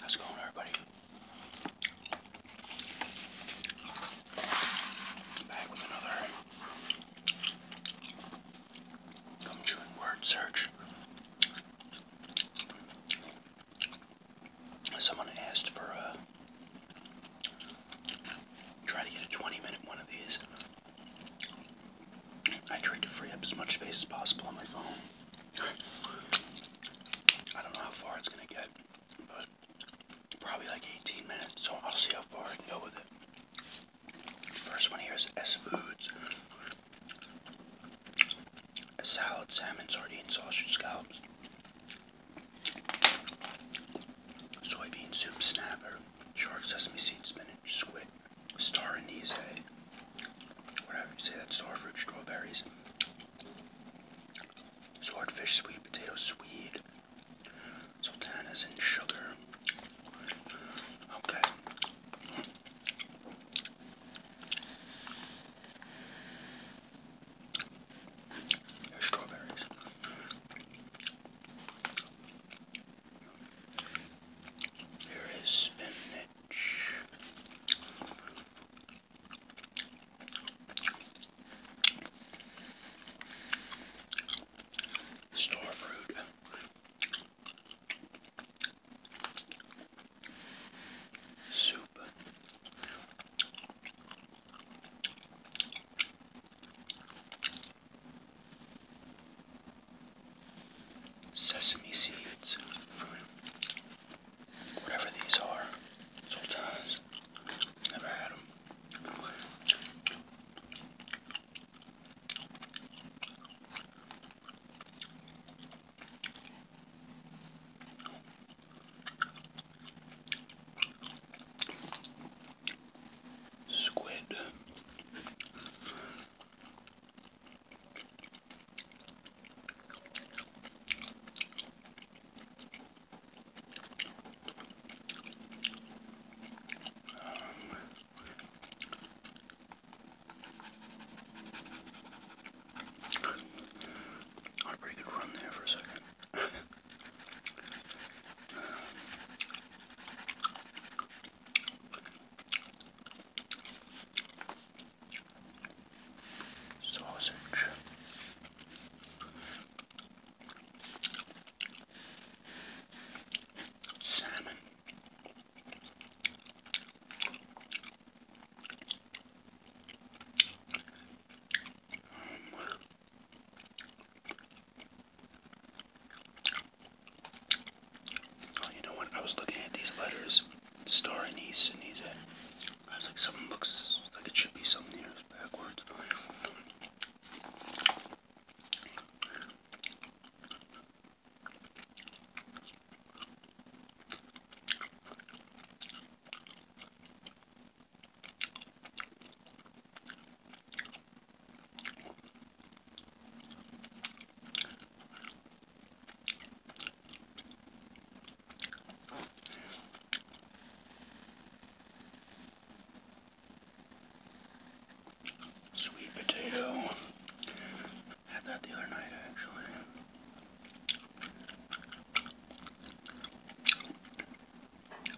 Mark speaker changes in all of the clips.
Speaker 1: How's it going, everybody? Back with another word search. Someone asked for a. Uh, try to get a 20 minute one of these. I tried to free up as much space as possible on my phone. I don't know how far it's gonna get, but probably like 18 minutes, so I'll see how far I can go with it. First one here is S Foods. A salad, salmon, sardine, sausage scallops. Soybean soup snapper. Shark, sesame seed, spinach, squid, star anise, eh? whatever you say that, star fruit, strawberries, swordfish, sweet potato, sweet, sultanas, and sugar. Okay. strawberries. There is spinach. Store fruit. Soup sesame seeds, whatever these are. Sometimes, never had them. Squid. Um, I pretty good run there for a second. Sausage. Salmon. Oh, you know what? I was looking at these letters, star and east and these. I was like, something looks like it should be something here backwards. Sweet potato. I had that the other night actually.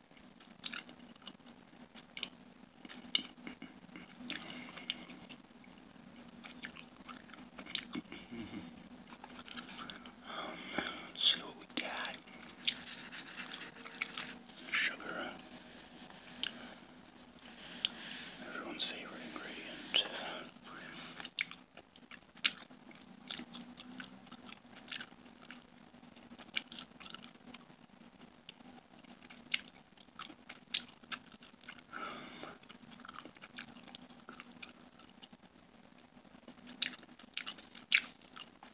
Speaker 1: Let's see what we got. Sugar. Uh, everyone's favorite ingredient.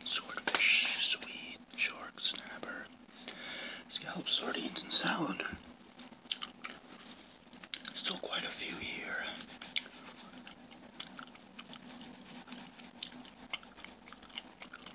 Speaker 1: Swordfish, sweet, shark, snapper, scallops, sardines, and salad. Still quite a few here.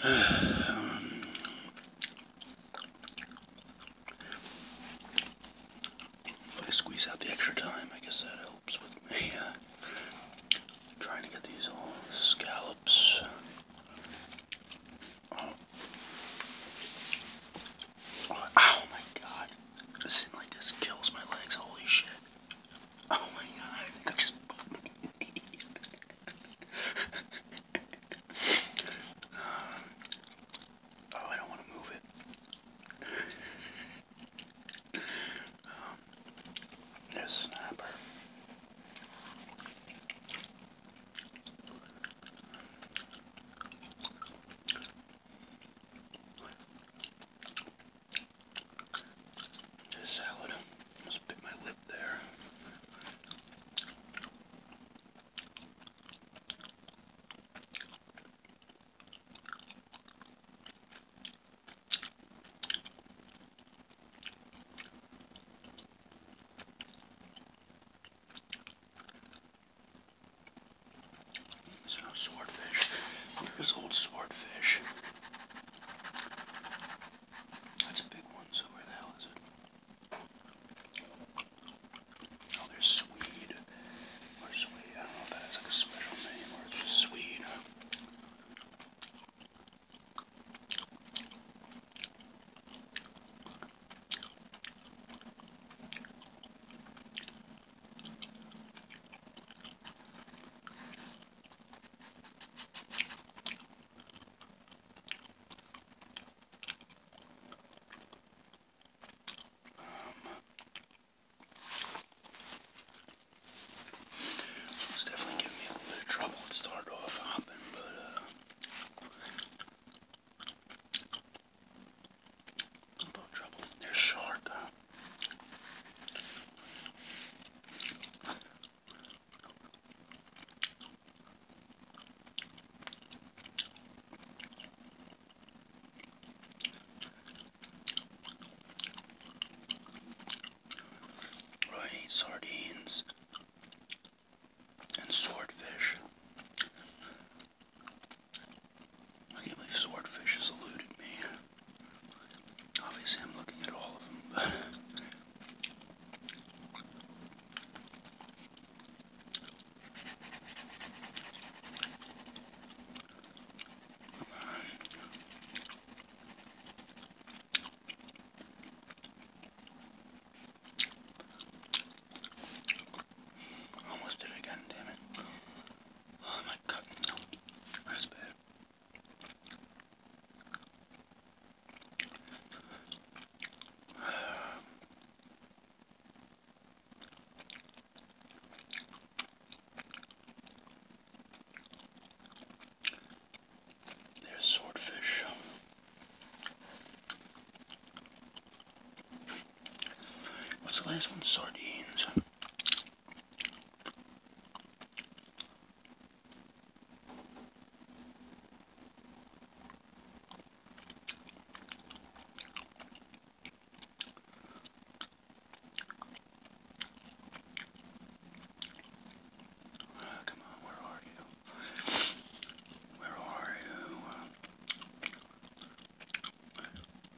Speaker 1: I squeeze out the extra time. I guess that helps with me uh, trying to get these all scallops. Oh, oh. my god! Sitting like this kills my legs. Holy shit. Oh my god, I just Oh, I don't want to move it. um, there's snapper the salad. Almost bit my lip there. So swordfish. Here's old swordfish. That's a big one, so where the hell is it? Oh, there's Swede. Or Swede. I don't know if that has like a special name or it's just Swede. It's definitely giving me a little bit of trouble to start off hopping, but uh, they're short though. Right, sardines and swordfish. I can't believe swordfish has eluded me. Obviously, I'm looking at all of them, but. Almost did it again, damn it. Oh my god, That's bad. There's swordfish. What's the last one? Sardines. Come on, where are you? Where are you?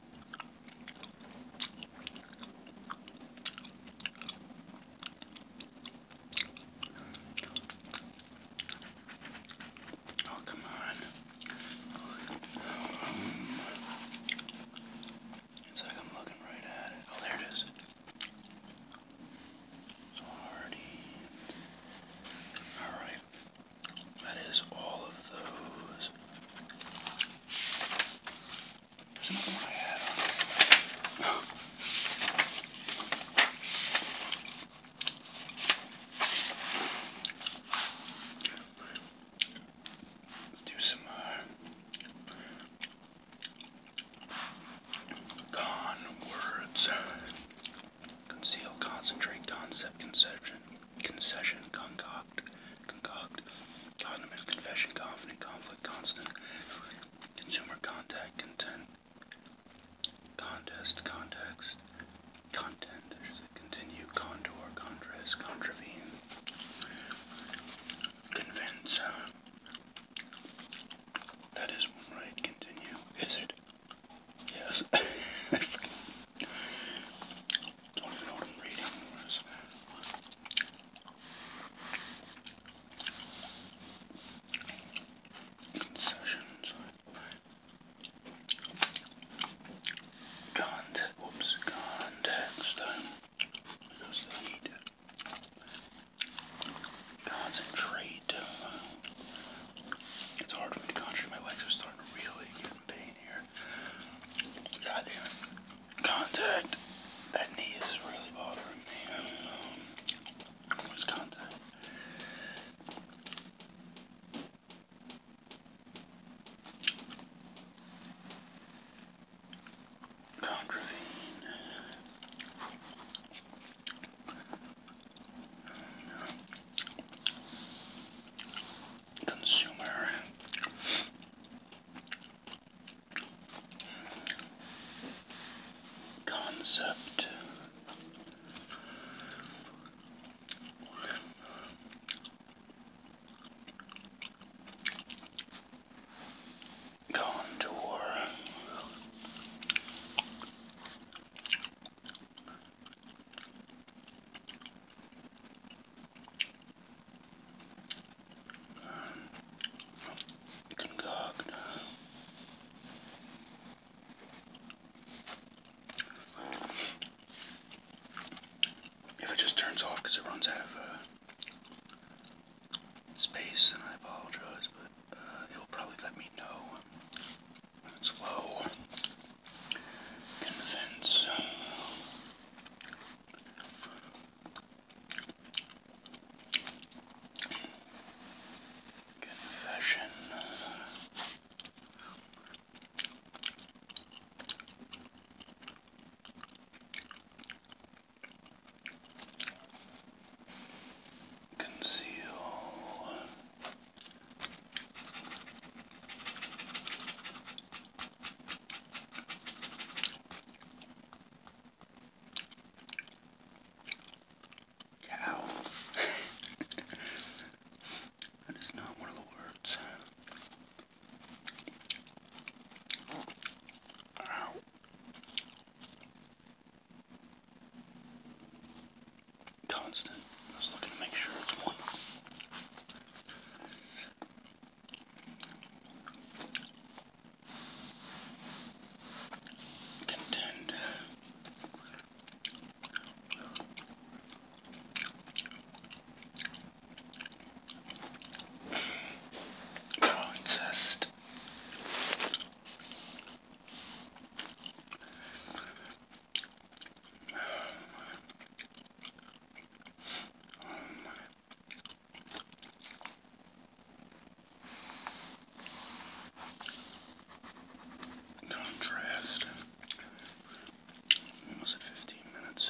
Speaker 1: Oh, come on. Um, it's like I'm looking right at it. Oh, there it is. It's already. Alright. That is all of those. There's another Let's do some uh, con words. Conceal, concentrate, concept, conception concession, concoct, concoct, condiment, confession, confident, conflict, constant, consumer contact, content, contest, context, content, continue, contour, contrast, contravene, convince. Uh, that is one right, continue. Is it? Yes. don't even know what I'm reading. Where's, where's... Concessions. Context. Whoops. Context. Because they need concentrate. It's hard for me to concentrate. My legs are starting to really get pain here. God Contact. That knee is really bothering me. Um, contact? Contravene consumer concept contour if it just turns off because it runs out of uh, space and I apologize but uh, it'll probably let me know when it's low convince confession conceal cow. that is not one of the words. Ow constant. I was looking to make sure it's one. Contend. Coexist. Contrast. Almost 15 minutes.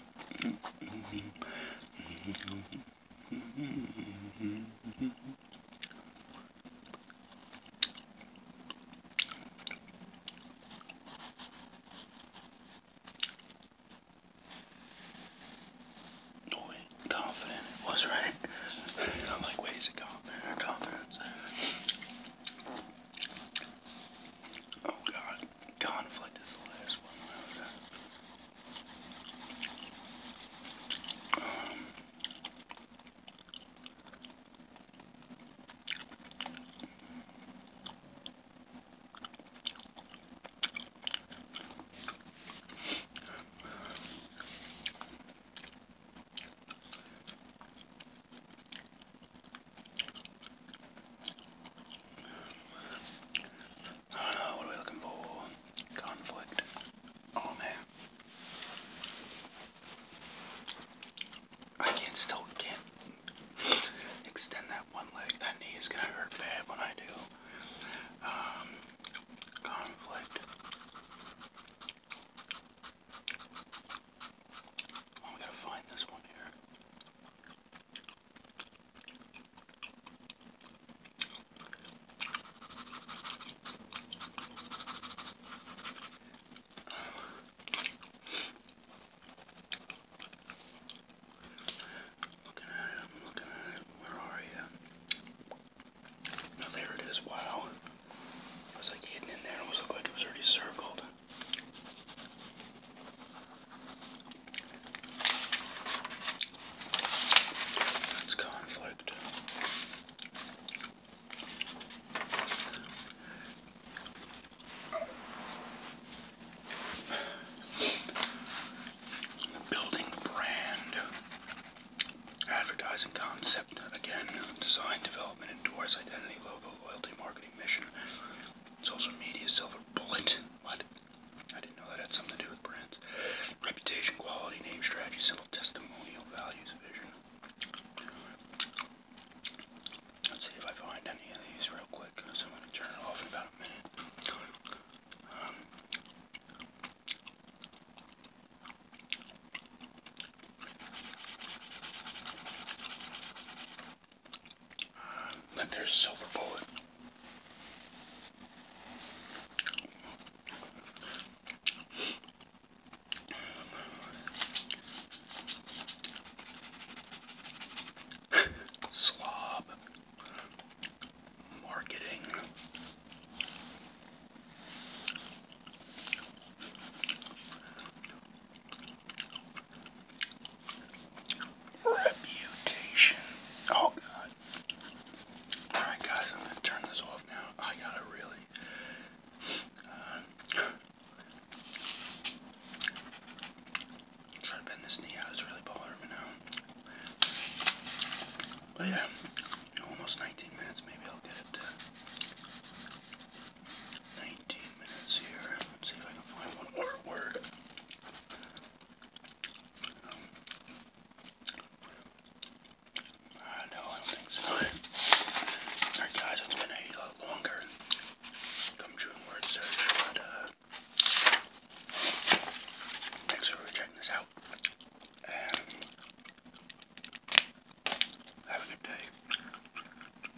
Speaker 1: No way, confident it right. I'm like, wait, is confidence? Oh god. Conflict is the last one. I oh, don't what are we looking for? Conflict. Oh man. I can still can't extend that one leg. That knee is gonna hurt bad when I do. Um, conflict. Oh, we gotta find this one here. Looking at it, I'm looking at it. Where are you? Now oh, there it is. Wow. It was like hidden in there. It almost looked like it was already circled. That's conflict. Building brand. Advertising concept. Again, design, development, endorse, identity, logo, loyalty, marketing, mission. Social media, silver bullet. What? I didn't know that had something to do with brands. Reputation, quality, name, strategy, simple testimonial, values, vision. Let's see if I find any of these real quick. So I'm going to turn it off in about a minute. Um, then there's Silver Bullet. Slob marketing. Reputation. Oh god. Alright guys, I'm gonna turn this off now. I gotta really uh, try to bend this knee out, it's really bothering me now. But yeah, almost 19 minutes, maybe I'll get it 19 minutes here. Let's see if I can find one more word. Um, uh, I don't think so. Alright, guys, it's been a lot longer come June word search, uh, thanks for checking this out. have a good day.